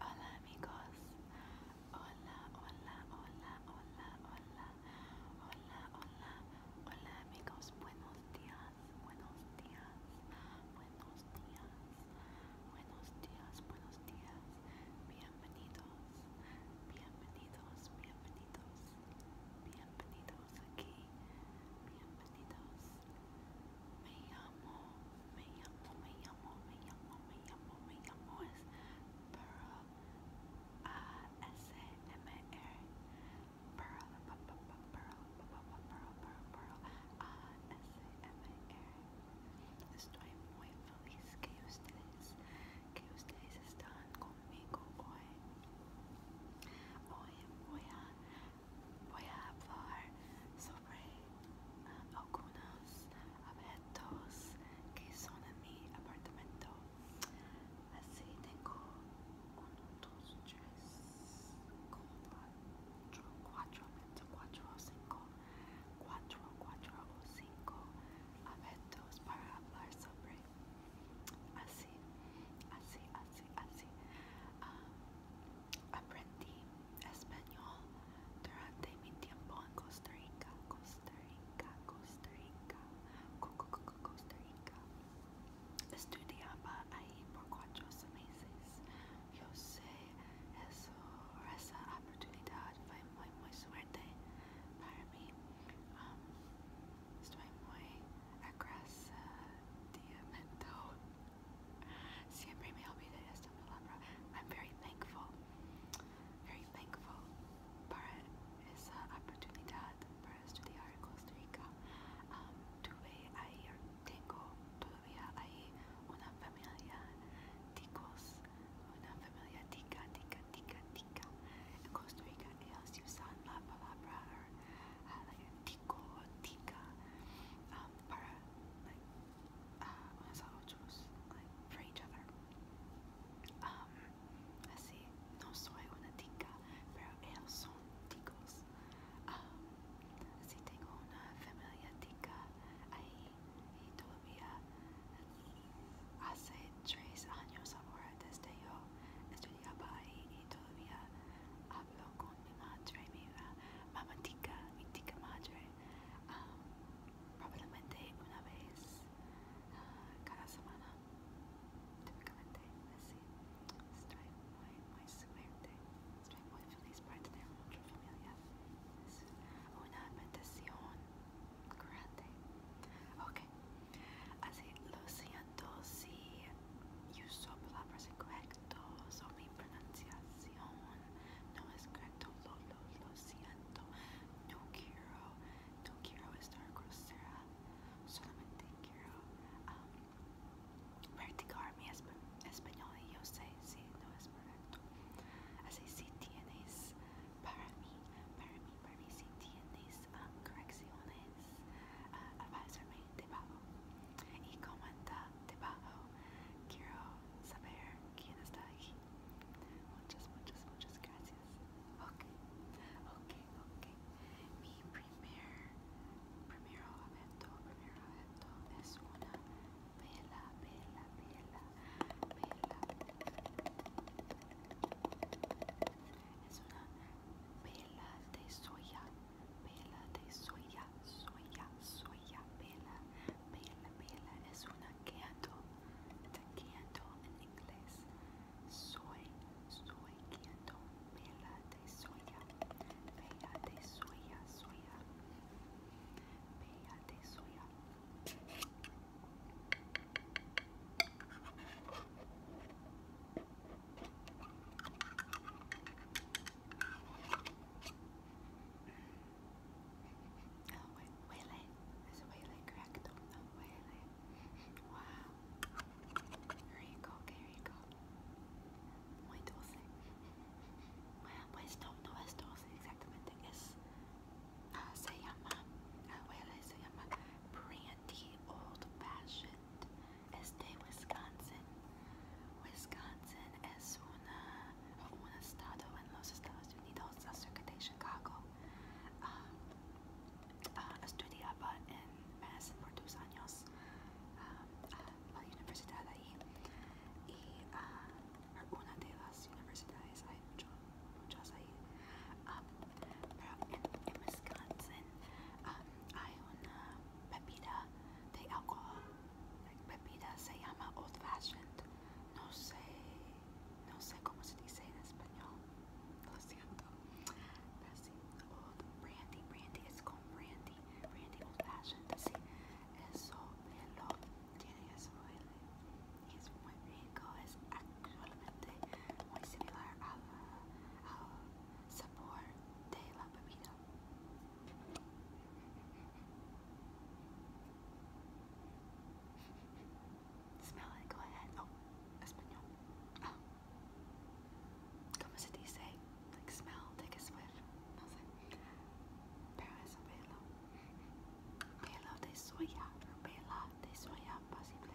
Hola amigos, hola, hola, hola, hola, hola, hola, hola, hola amigos, buenos días, buenos días, buenos días, buenos días, buenos días, bienvenidos, bienvenidos, bienvenidos, bienvenidos aquí, bienvenidos, Me llamo, me llamo, me llamo, me llamo, me llamo, me llamo es Pearl A-S-M-R Pearl, Pearl, Pearl, Pearl, Pearl, A-S-M-R Estoy muy feliz que ustedes, que ustedes están conmigo hoy. Hoy voy a voy a hablar sobre ah, algunos abetos que son en mi apartamento. Así tengo 1, 2, 3, 4, 4, 4, 5, 4, 4 5 abetos para hablar sobre. Así, así, así, así. Ah, aprendí español durante mi tiempo en Costa Rica, Costa Rica, Costa Rica, Co -co Costa Rica. Estudiaba ahí por cuatro meses. Yo sé eso, esa oportunidad fue muy, muy suerte para mí. Um, muy agradecido Siempre me olvidé esta palabra. I'm very thankful. Very thankful para esa oportunidad para estudiar Costa Rica. Um, tuve ahí, tengo todavía ahí una familia ticos, una familia tica, tica, tica, tica. En Costa Rica ellos usan la palabra eh, or, uh, um, like tica para uh, as outros, for each other. Um, así, no soy una tica, pero ellos son ticos. Um, tengo una familia tica ahí y todavía hace tres años ahora desde yo estudiaba ahí y todavía hablo con con mi madre, mi uh, tica madre, ah, probablemente una vez ah, cada semana, típicamente así. Estoy muy, muy suerte, estoy muy feliz por tener mucha familia. Es una bendición grande. Ok, así lo siento si uso palabras incorrectas. mi pronunciación no es correcto, lo, lo, siento, no quiero, no quiero estar grosera, solamente quiero um, practicar mi español y yo sé si no es correcto. Así si tienes, para mí, para mí, para mí, si tienes um, correcciones, avísame de debajo y comenta debajo. Quiero saber quién está aquí. Muchas, muchas, muchas gracias. Ok, ok, ok. Mi primer, primer es una vela, vela, vela, vela. Es una vela de soya. Pela de soya, soya, soya, pela, pela, pela, es una canto, es un canto en inglés. Soy, soy canto, pela de soya, pela de soya, soya, pela de soya. Oh, wait, whale. There's a No, whale. Wow. Here you go, okay, here you go. Muy dulce. Bueno, pues no, no es dulce exactamente. Es, uh, se llama, la brandy old fashioned es de Wisconsin. Wisconsin es una, un estado en los Estados Unidos cerca de Chicago. Um, uh, estudiaba en Madison por dos años um, la universidad ahí y uh, de las universidades hay muchas ahí. Um, pero en, Wisconsin hay una bebida de alcohol like bebida se llama old fashioned. No sé, no sé cómo se dice en español. Lo siento. Pero sí, old brandy, brandy es con brandy, brandy old fashioned. Sí, eso, velo, tiene eso, y es muy rico, es actualmente muy similar al, al sabor de la bebida. Smell it, go ahead. Oh, Espanol. Oh. Como se dice? Like smell, take a swiff. Nothing. Pero es un pelo. Pelo de soya. Pela de soya, posible.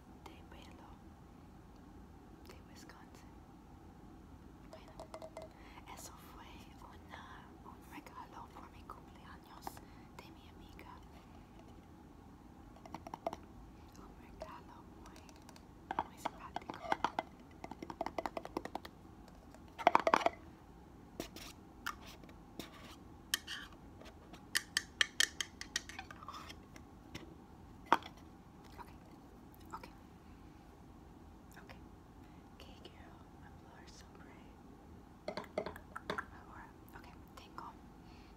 de Belo, de Wisconsin. Bueno, eso fue una, un regalo por mi cumpleaños de mi amiga. Un regalo muy simpático. Okay. Okay. Okay, girl. My floor is so great. Agora, ok, tengo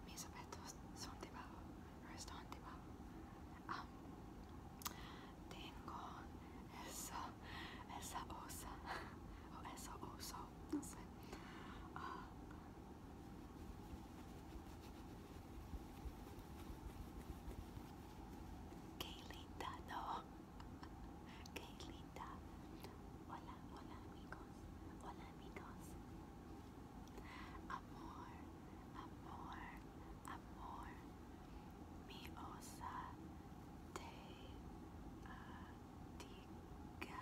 mis objetos, son debajo, están debajo. Um, tengo esa, esa osa, o esa oso, no sé. Uh, Qué linda, no. Qué Hola, hola amigos. Hola amigos. Amor, amor, amor. Mi osa te uh, diga,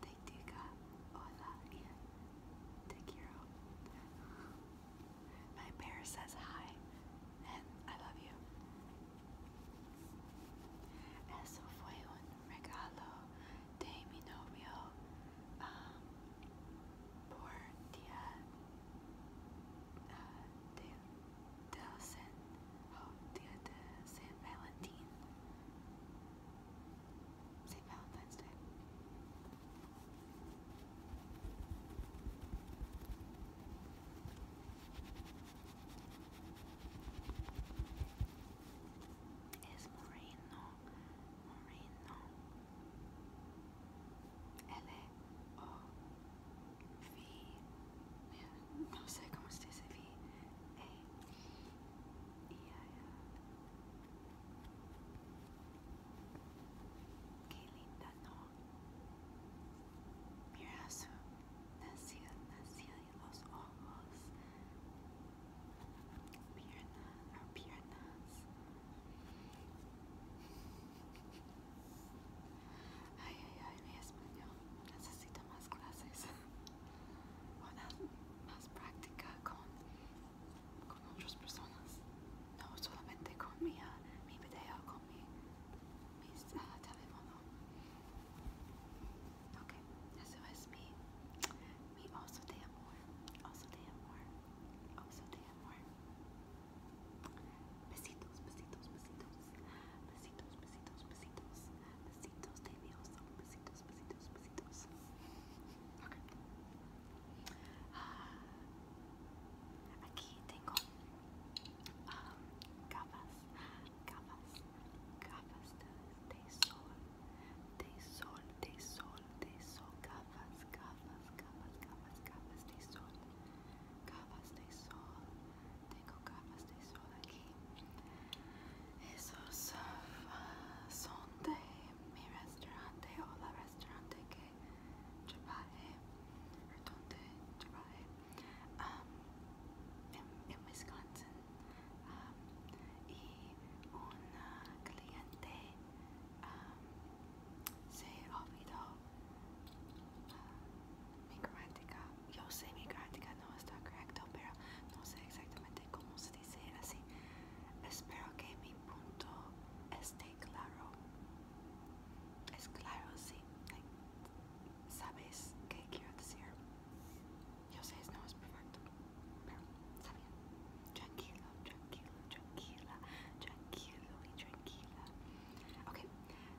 te hola bien. Take My bear says hi, and I love you. Eso fue un regalo de mi novio um, por uh, oh, día de San Valentín. St. Valentine's Day. Es Moreno, Moreno, L O V, no sé cómo se dice V, A, E I L. Qué linda, ¿no? Mira su los ojos, pierna piernas. Ay, ay, ay, mi español. Necesito más clases. Una más con, otras personas. No solamente con mi, ah, video, con mi mis, uh, teléfono. Ok, eso es mi, mi oso de amor. Oso de amor. Besitos, besitos, besitos. Besitos, besitos, besitos. Besitos. Ah, aqui tenho ah, gafas, gafas, de, sol, de sol, de sol, de sol, gafas, gafas, gafas, gafas, gafas de sol, gafas de sol. Tenho gafas de sol aqui. Esos son de mi restaurante o la restaurante que trabajé, donde en, Wisconsin. y un cliente se olvidó ah, mi gráfica. Yo sé mi gráfica, no está correcta, pero no sé exactamente cómo se Unidos dice así, espero que mi punto esté claro. Es claro, sí. ¿Sabes qué quiero decir? Yo sé, no es perfecto, pero Tranquilo, tranquilo, tranquila, tranquilo y tranquila. Ok,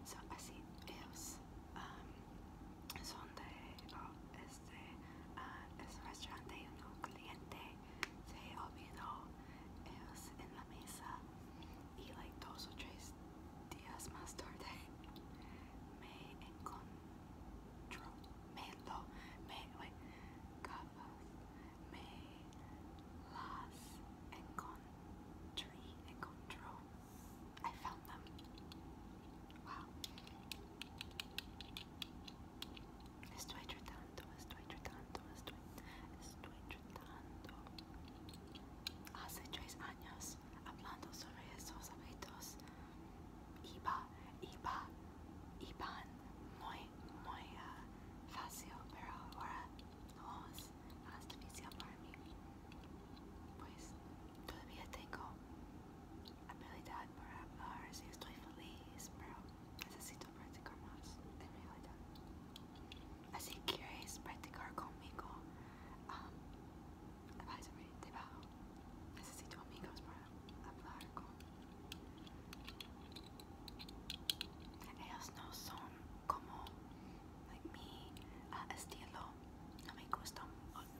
so así ellos um, son de, oh, este, uh, es restaurante hay un cliente se olvidó ellos en la mesa y like dos o tres días más me encontró me lo me wait, capaz me las encontré encontró I found them wow Estoy tratando, estoy tratando, estoy, estoy tratando. Hace tres años hablando sobre esos hábitos. Iba, iba, iban muy, muy eh, fácil, pero ahora no es más difícil para mí. Pues todavía tengo A habilidad para hablar uh, si estoy feliz, pero necesito practicar más en realidad. Así que quieres practicar conmigo, um, advisory debajo. Necesito amigos para hablar no son como mi uh, estilo. No me gusta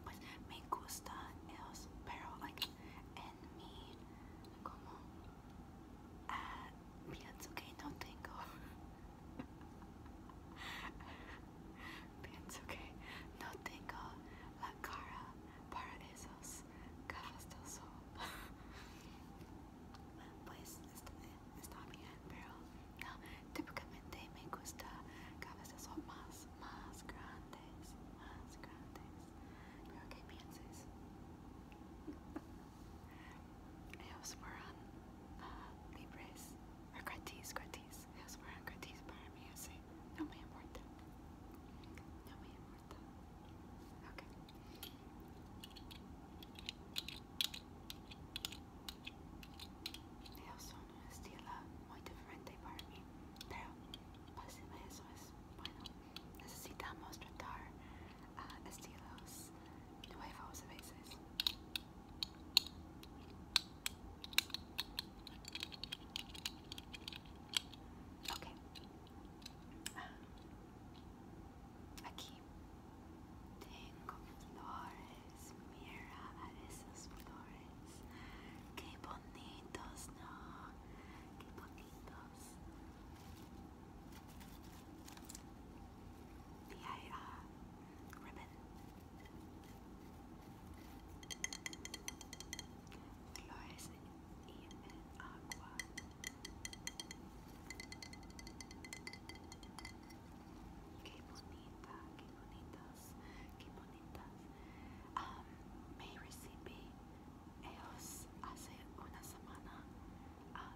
pues me gusta ellos, pero like en mi como ah, no tengo pienso no tengo la cara para esos gafas del sol pues está, está bien pero no, típicamente me gusta gafas más más grandes grandes, más grandes. Pero que pienses. Ellos fueron uh, libres, o gratis, gratis. Ellos fueron uh, gratis para mí, así. No me importa. No me importa. Ok. Ellos estila muy diferente para mí, pero posible es bueno. Necesitamos tratar uh, estilos nuevos a veces. Ok. Ah. aquí tengo flores. Mira a flores. Qué bonito bonitos, no, ribbon. Flores y el Qué bonita, qué bonita. qué bonitas. Ah, me recibí ellos hace una semana ah,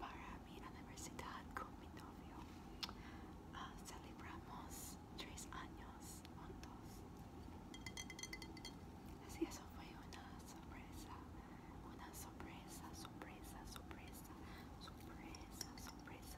para mi universidad con mi novio. Ah, celebramos tres años juntos. Así eso fue una sorpresa, una sorpresa, sorpresa, sorpresa, sorpresa, sorpresa.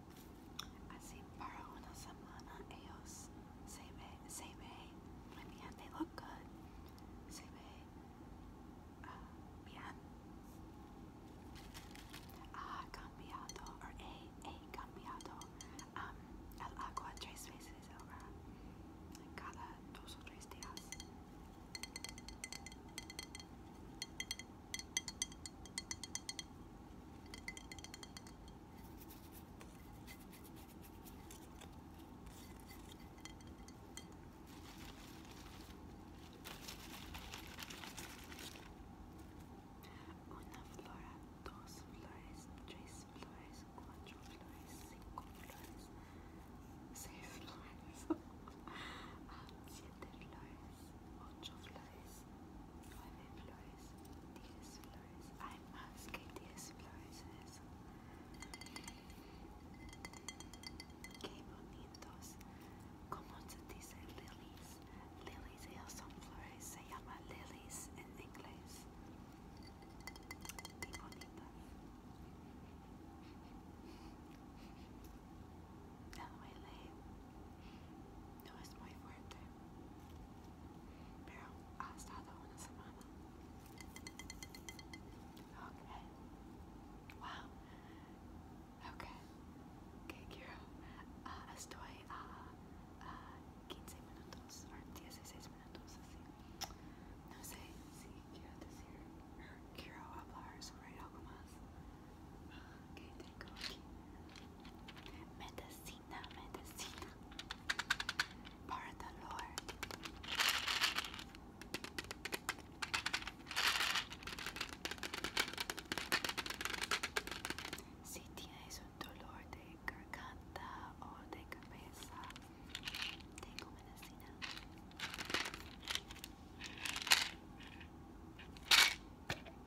Así para una semana ellos se ve, se ve, I they look good, se ve ah, bien. Ha cambiado, or he, he cambiado um, el agua tres veces ahora, cada dos o tres días. Una flora, dos flores, tres flores, cuatro flores, cinco flores, seis flores, ah, siete flores, ocho flores, Nueve flores, diez flores. Hay que diez flores Qué bonitos. ¿Cómo se dice lilies? Lilies, ellos son flores. Se llama lilies en inglés. Qué bonita. No duele. No es muy fuerte. Pero ha ah, Okay. Wow. Okay. Okay, quiero. estoy a minutos o 16 minutos así. No sé si quiero decir, quiero hablar sobre algo más. ¿Qué tengo medicina, medicina para dolor. Si tienes un dolor de garganta o de cabeza, tengo medicina.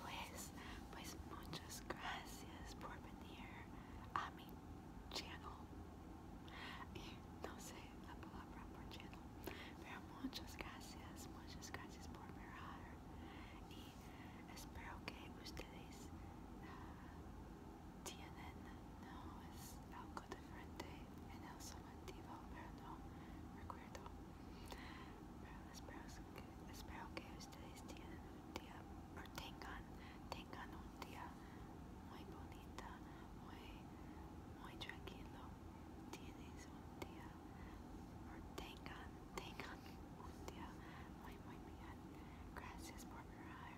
pues, pues muchas gracias por venir a mi channel. no sé la palabra por channel, pero muchas gracias, muchas gracias por mirar. Y espero que ustedes ah, tienen, no es algo diferente en el somativo, pero no recuerdo. Pero espero que, espero que ustedes tienen día, o tengan, tengan un día muy bonita, muy, muy tranquilo. Tienes un día, o tengan, tengan un día muy, muy bien. Gracias por mirar.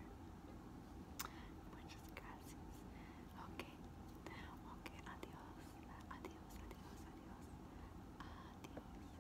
Muchas gracias. Ok, ok, adiós, adiós, adiós, adiós, adiós.